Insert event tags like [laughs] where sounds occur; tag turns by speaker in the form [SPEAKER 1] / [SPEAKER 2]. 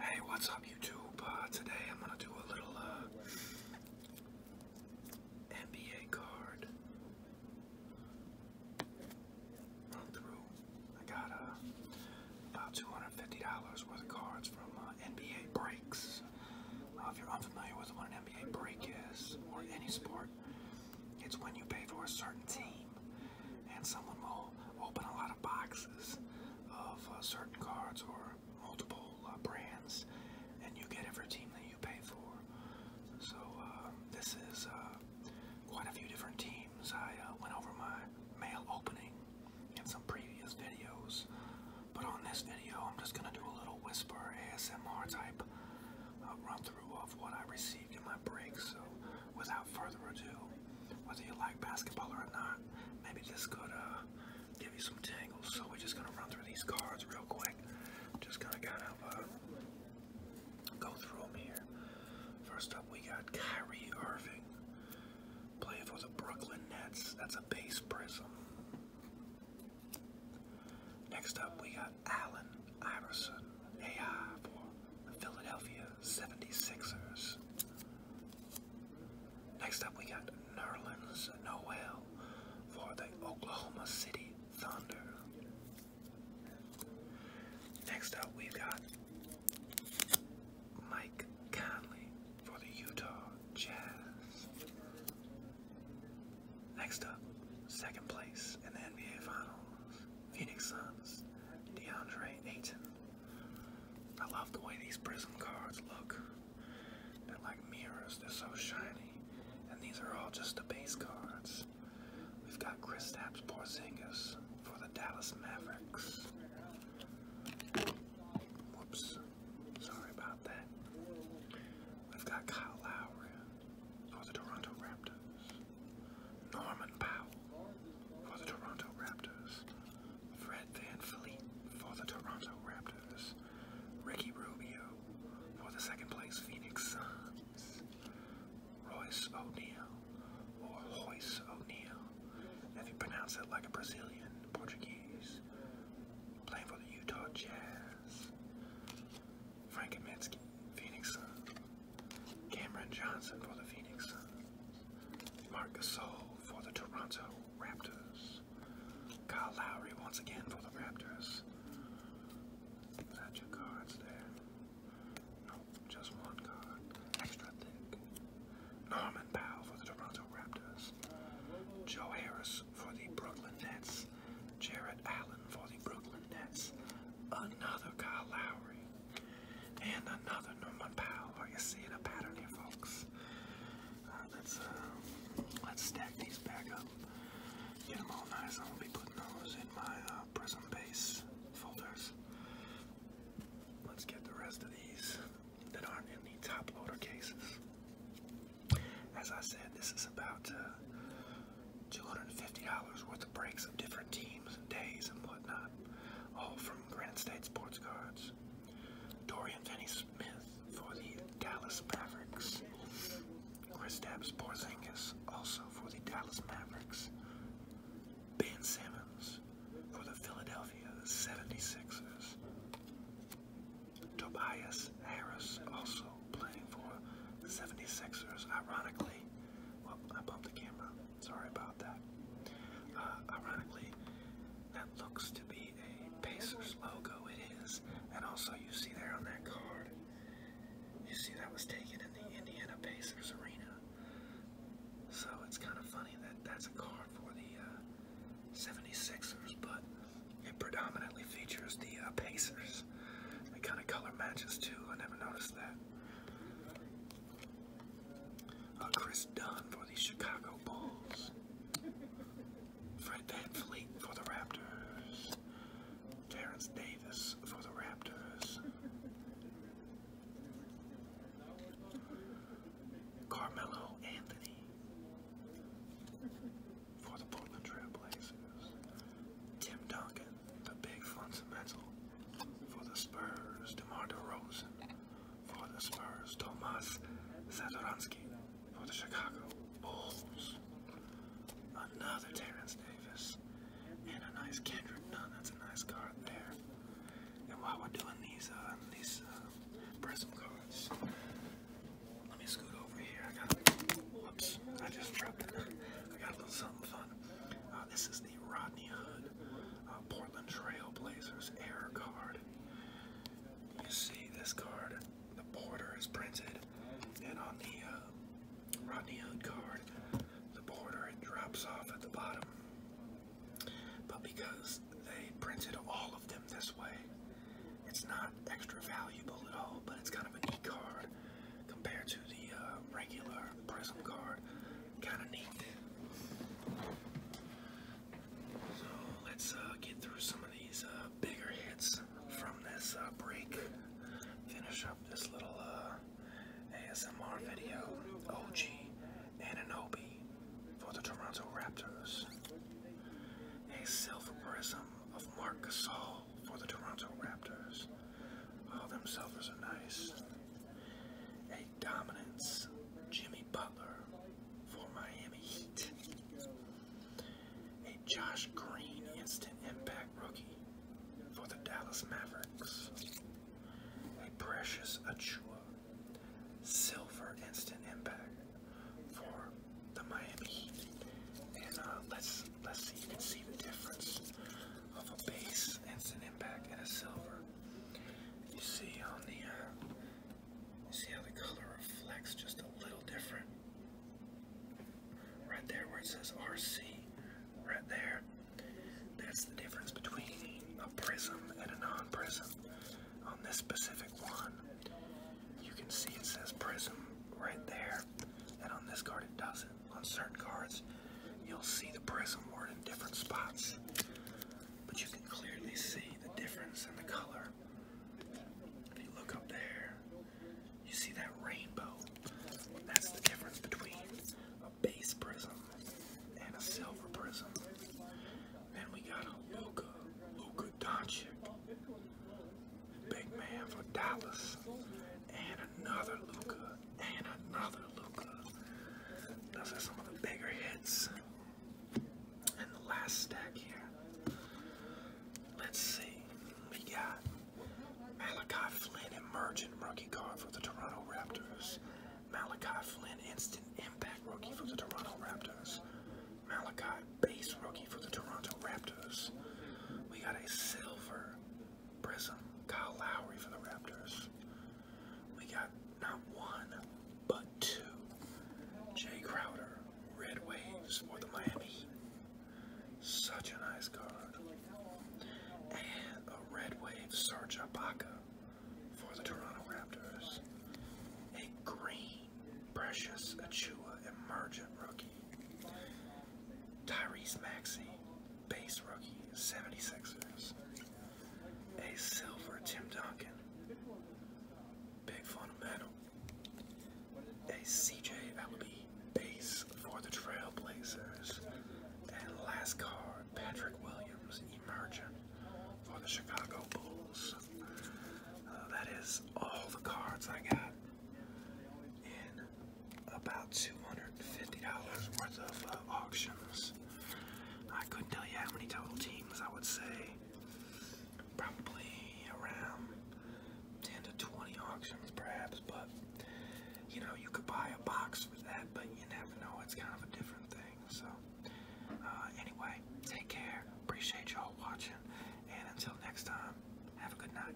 [SPEAKER 1] Hey, what's up, YouTube? Uh, today I'm gonna do a little uh, NBA card run through. I got uh, about $250 worth of cards from NBA Breaks. if you're unfamiliar with what an NBA break is, or any sport, it's when you pay for a certain team and someone will open a lot of boxes of uh, certain cards or multiple uh, brands, and you get every team that you pay for. So uh, this is uh, quite a few different teams. I uh, went over my mail opening in some previous videos, but on this video I'm just gonna do a little whisper ASMR type uh, run through of what I received in my break. So without further ado, whether you like basketball or not, maybe this could give you some tangles. So we're just gonna run through these cards real quick. Just gonna kind of uh, go through them here. First up, we got Kyrie Irving playing for the Brooklyn Nets. That's a base prism. Next up, we got Allen Iverson, AI for Philadelphia 76ers. Next up, we got Nerlens Noel for the Oklahoma City Thunder. Next up, we've got Mike Conley for the Utah Jazz. Next up, second place in the NBA Finals, Phoenix Suns, DeAndre Ayton. I love the way these prism cards look. They're like mirrors, they're so shiny. And these are all just the base cards. We've got Kristaps Porzingis for the Dallas Mavericks. Whoops, sorry about that. We've got Kyle Lowry for the Toronto Raptors. Norman Powell for the Toronto Raptors, Fred Van for the Toronto Raptors, Ricky Rubio for the second place Phoenix Suns, Royce O'Neal or Royce O'Neal, if you pronounce it like a Brazilian Portuguese, playing for the Utah Jazz, Frank Kaminsky, Phoenix Suns, Cameron Johnson for the Phoenix Suns. Marc Gasol for the Toronto Raptors. Kyle Lowry once again for the Raptors. Is that your cards there? Nope, just one card. Extra thick. Norman Powell for the Toronto Raptors. Joe Harris for the Brooklyn Nets. Jared Allen for the Brooklyn Nets. Another Kyle Lowry. And another Norman Powell. You see the pattern here, folks. Uh, let's uh, let's stack these back up. Get them all nice. I'm be putting those in my uh, prism base folders. Let's get the rest of these that aren't in the top loader cases. As I said, this is about $250 worth of breaks of different teams and days and whatnot, all from Granite State Sports Cards. Dorian Finney Smith for the Dallas Mavericks. Kristaps Porzingis also for the Dallas Mavericks. Ben Simmons for the Philadelphia 76ers. Tobias Harris also playing for the 76ers. Ironically, well, I bumped the camera. Sorry about that. Uh, ironically, that looks to be a Pacers logo. It is. And also, you see there on that card, you see that was taken in the Indiana Pacers arena. So it's kind of funny that that's a card for the 76ers, uh, but it predominantly features the uh, Pacers. It kind of color matches too. I never noticed that. Chris Dunn for the Chicago Bulls. Fred Van for the Raptors. Terrence Davis for the Raptors. Carmelo Anthony for the Portland Trail Tim Duncan, the big fundamental for the Spurs, DeMar DeRozan. For the Spurs, Thomas Satoransky. For the Chicago Bulls, another Terrence Davis. And a nice Kendrick Nunn. That's a nice card there. And while we're doing these, uh, these uh, prism cards, let me scoot over here. I got, I just dropped it. [laughs] I got a little something fun. Uh, this is the Rodney Hood uh, Portland Trail Blazers error card. You see this card, the border is printed, and on the uh, Rodney Hood card, the border it drops off at the bottom. But because they printed all of them this way, it's not extra valuable at all, but it's kind of a neat card compared to the uh, regular Prism card kind of neat. So let's uh, get through some of these uh, bigger hits from this uh, break. Finish up this little ASMR video. OG Ananobi for the Toronto Raptors. A silver prism of Marc Gasol for the Toronto Raptors. All oh, them silvers are nice dominance, Jimmy Butler for Miami Heat, a Josh Green instant impact rookie for the Dallas Mavericks, a Precious Achua silver instant impact for the Miami Heat, and uh, let's let's see you can see the difference of a base instant impact and a silver you see on the, uh, see how the color reflects just a little different. Right there where it says RC, right there. That's the difference between a prism and a non-prism. On this specific one, you can see it says prism right there, and on this card it doesn't on certain cards, you'll see the prism word in different spots, but you can clearly see the difference in the color. If you look up there, you see that rainbow. That's the difference between a base prism and a silver prism. Then we got a Luka, Luka Doncic, big man for Dallas, and another Luka and another Luca. Those are some of the bigger hits. And the last stack here. Let's see. We got Malachi Flynn emergent rookie card for the Toronto Raptors. Malachi Flynn instant impact rookie for the Toronto Raptors. Malachi base rookie for the Toronto Raptors. We got a silver Prism, Kyle Lowry for the Raptors. We got not one, but two. Jay Crowder, Red Waves for the Miami Heat. Such a nice card. And a Red Wave Serge Ibaka for the Toronto Raptors. A green Precious Achua Emergent Rookie. Tyrese Maxey, base rookie, 76ers. A silver Tim Duncan. Big fundamental. A CJ be base for the Trailblazers. And last card, Patrick Williams emergent for the Chicago Bulls. Uh, that is all the cards I got in about $250 worth of uh, auctions. I couldn't tell you how many total teams. I would say probably around 10 to 20 auctions, perhaps. But you know, you could buy a box for that, but you never know. It's kind of a different thing. So, uh, anyway, take care. Appreciate y'all watching. And until next time, have a good night.